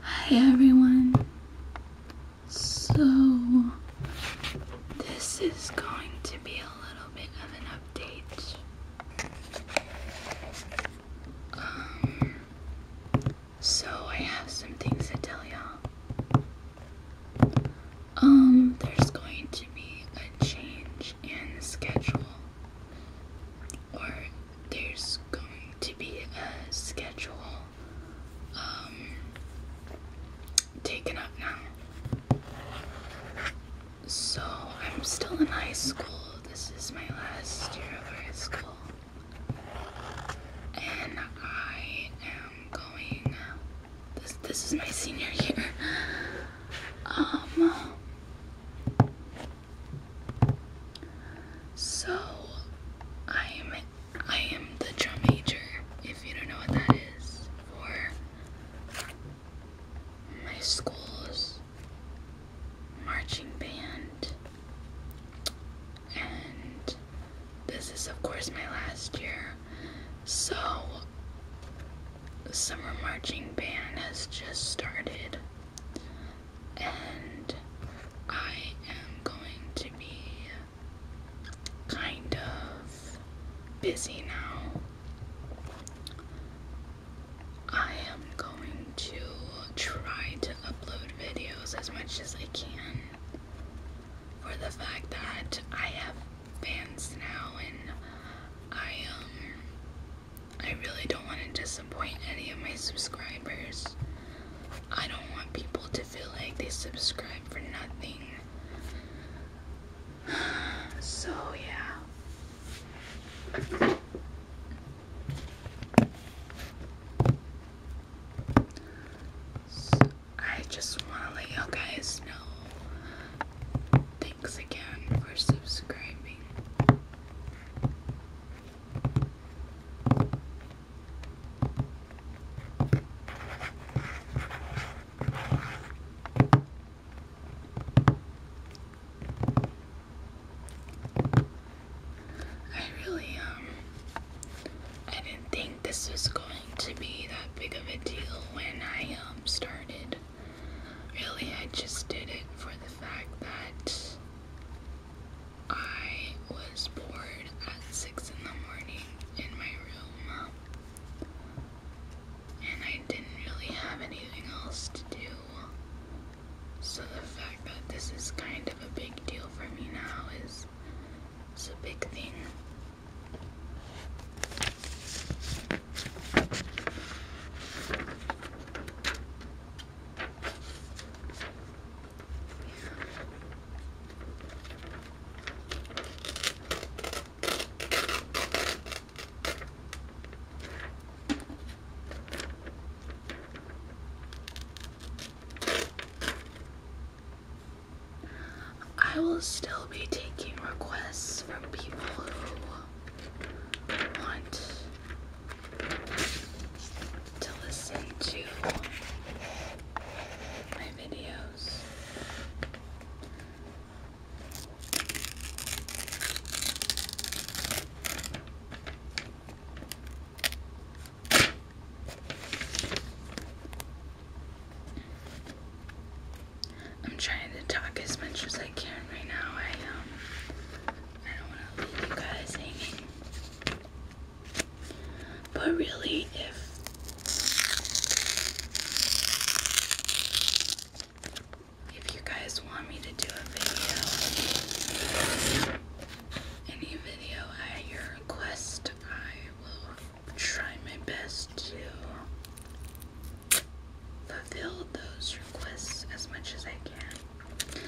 Hi everyone. So this is going to be a little bit of an update. Um, so I have some things to tell y'all. Um, there's going to be a change in schedule or there's going to be a schedule um, taken up now. So I'm still in high school. This is my last year of high school. And I am going. This, this is my senior year. Um, so I'm I am the drum major, if you don't know what that is, for my school's marching band. And this is of course my last year. So the summer marching band has just started, and I am going to be kind of busy now. I am going to try to upload videos as much as I can for the fact that I have bands now and I um I really don't want to disappoint any of my subscribers. I don't want people to feel like they subscribe for nothing. So, yeah. I just want to let you guys know. Thanks again for subscribing. I really, um, I didn't think this was going to be that big of a deal when I, um, started Really, I just did it for the fact that I was bored at 6 in the morning in my room. And I didn't really have anything else to do. So the fact that this is kind of a big deal for me now is, is a big thing. I will still be taking requests from people who want to listen to my videos. I'm trying to talk as much as I can right now. I um I don't wanna leave you guys hanging. But really if if you guys want me to do a video any video at your request I will try my best to fulfill those requests as much as I can.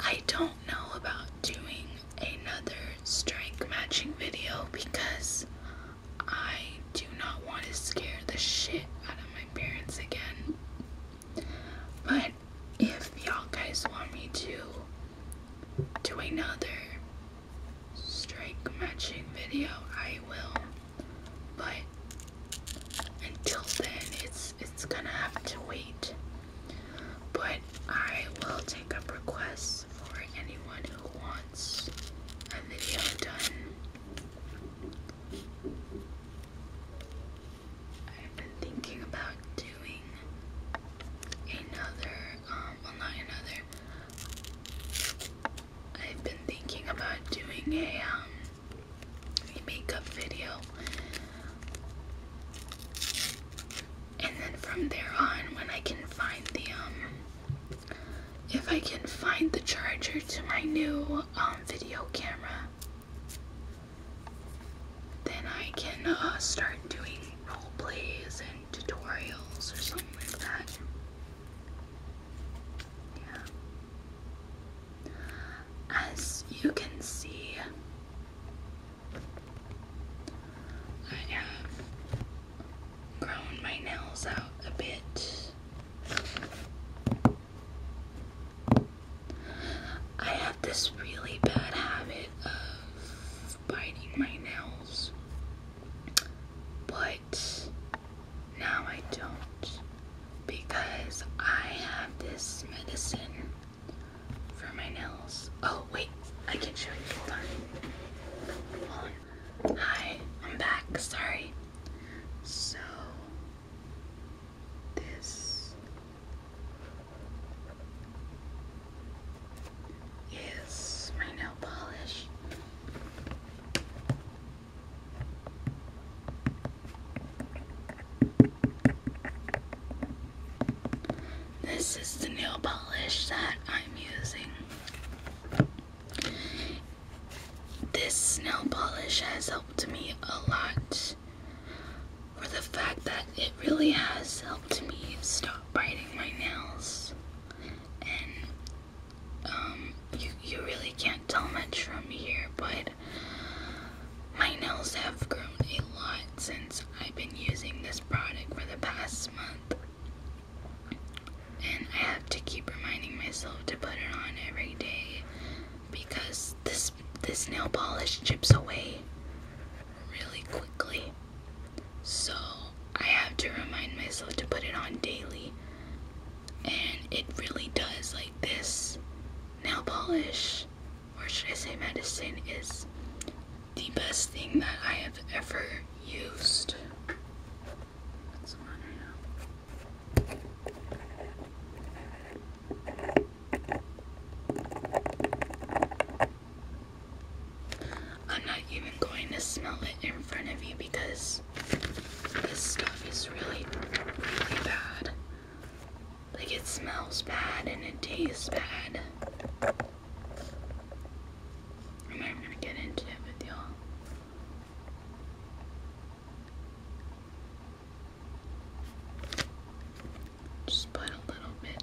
I don't know about doing another strength matching video because I do not want to scare the shit out of my parents again. But if y'all guys want me to do another strike matching video, I will but until then it's it's gonna have to wait but I will take up requests for anyone who wants a video done I've been thinking about doing another um, well not another I've been thinking about doing a um a makeup video. And then from there on, when I can find the, um, if I can find the charger to my new um, video camera, then I can uh, start doing role plays and tutorials or something like that. As you can see, I have grown my nails out a bit. I have this really bad habit of biting my nails, but now I don't because I have this medicine for my nails. Oh, wait, I can not show you. Hold on. on. Hi, I'm back. Sorry. So, this is my nail polish. This is the nail polish that I'm using. This nail polish has helped me a lot for the fact that it really has helped me stop biting my nails um, you, you really can't tell much from here, but my nails have grown a lot since I've been using this product for the past month. And I have to keep reminding myself to put it on every day because this this nail polish chips away really quickly. So I have to remind myself to put it on daily and it really does like this nail polish or should I say medicine is the best thing that I have ever used. I'm not even going to smell it in front of you because this stuff is really, really bad. Like it smells bad and it tastes bad. am not gonna get into it with y'all. Just a little bit.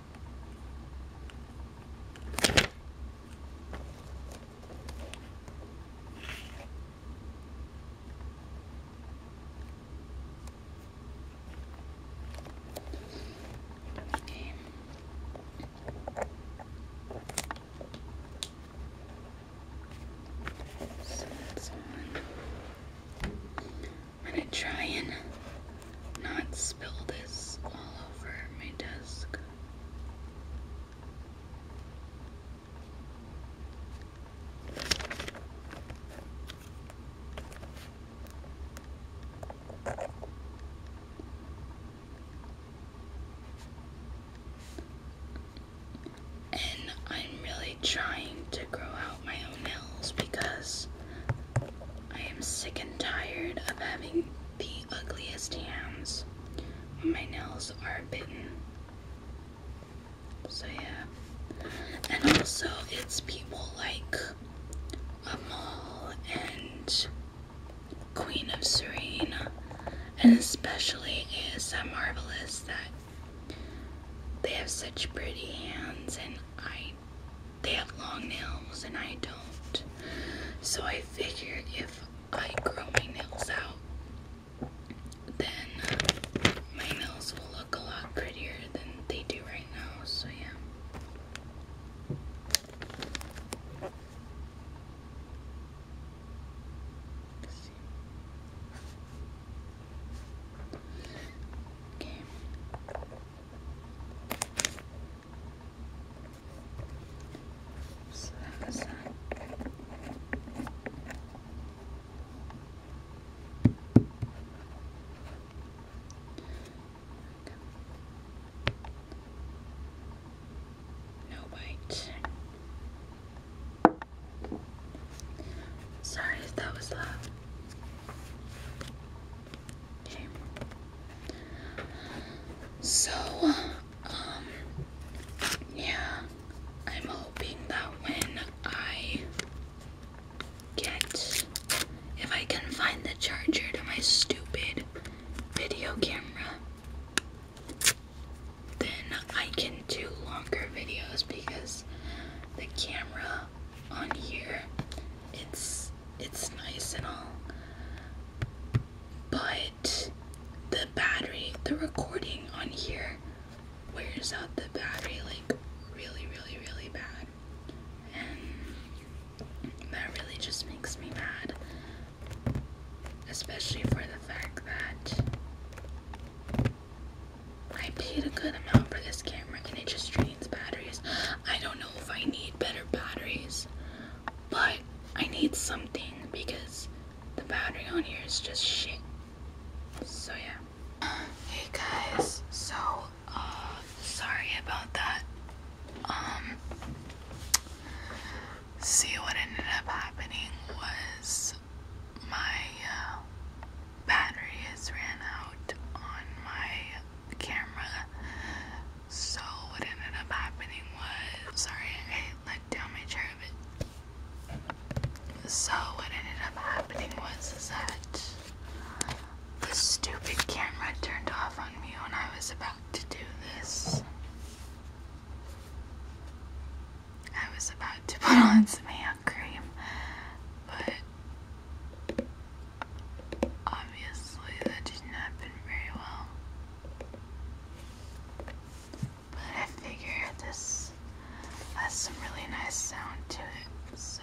Okay. So that's on. I'm gonna try and not spill this all over my desk. And I'm really trying to grow out my own nails because I am sick and tired of having the ugliest hands. when my nails are bitten. So yeah. And also it's people like Amal and Queen of Serene and especially ASM Marvelous that they have such pretty hands and I they have long nails and I don't. So I figured if I grow my nails out, then my nails will look a lot prettier than they do right now. So yeah. Okay. So that was that. No bite. Sorry if that was loud. So, um, yeah, I'm hoping that when I get, if I can find the charger to my stupid video camera, then I can do longer videos because the camera on here, it's it's nice and all but the battery the recording on here wears out the battery like really really really bad and that really just makes me mad especially for the fact that I paid a good amount for this camera and it just drains batteries. I don't know if I need better batteries, but I need something because the battery on here is just shit. So yeah. Hey guys, so uh, sorry about that. Um, see what ended up happening was my uh, battery has ran out on my camera so what ended up happening was sorry, I let down my chair a So what ended up happening was is that the stupid camera turned off on me when I was about to do this. I was about to put on some hand cream, but obviously that didn't happen very well. But I figure this has some really nice sound to it, so.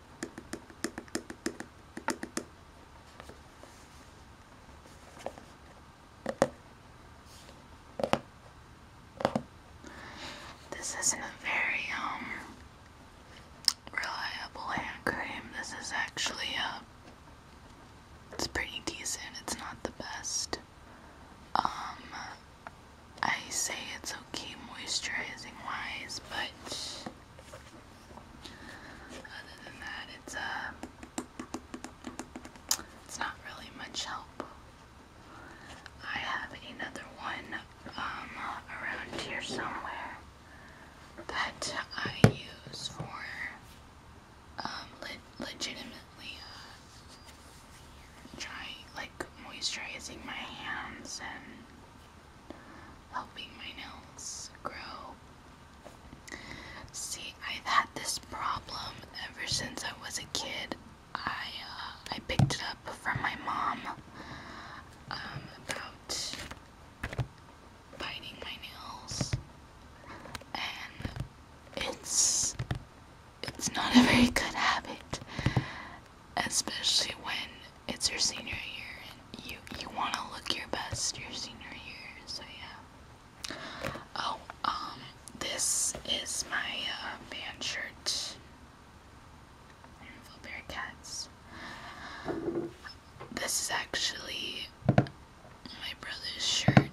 This isn't a very um reliable hand cream. This is actually a uh, it's pretty decent. It's not the best. Um I say it's okay moisturizing wise, but other than that, it's uh, it's not really much help. I have another one um, around here somewhere that I use for um, legitimately uh, trying like moisturizing my hands and helping my nails grow. See, I've had this problem ever since I was a kid. I uh, I picked it up from my mom um, about biting my nails, and it's it's not a very good habit especially when it's your senior year and you you want to look your best your senior year. So yeah. Oh, um, this is my uh, band shirt. Rainbow Bearcats. This is actually my brother's shirt.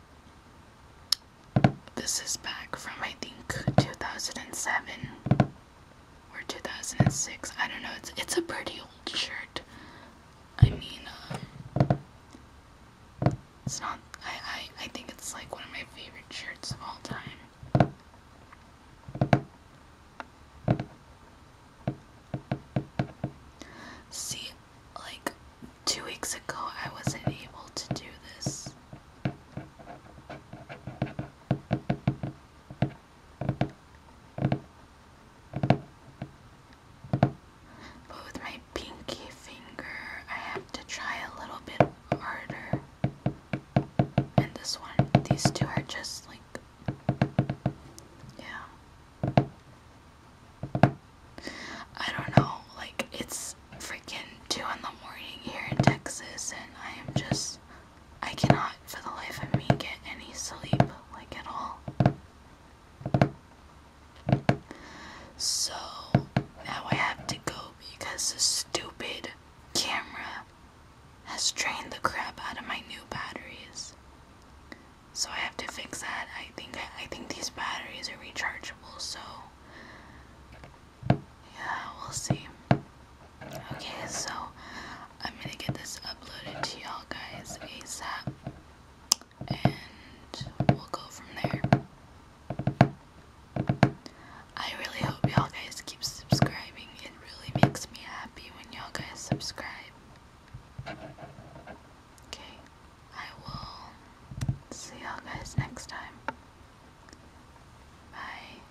This is back from I think 2007 or 2006. I don't know. It's it's a pretty old shirt. I mean, uh, it's not. I, I I think it's like one of my favorite shirts of all time. See, like two weeks ago, I wasn't able to do this. But with my pinky finger, I have to try a little bit harder. And this one, these two are just like, yeah. I don't know, like, it's freaking 2 in the morning here in Texas, and I am just I cannot for the life of me get any sleep, like at all. So now I have to go because this stupid camera has drained the crap out of my new batteries. So I have to fix that. I think I think these batteries are rechargeable, so yeah, we'll see. Okay, so I'm gonna get this uploaded to y'all guys ASAP and we'll go from there. I really hope y'all guys keep subscribing. It really makes me happy when y'all guys subscribe. Okay, I will see y'all guys next time. Bye.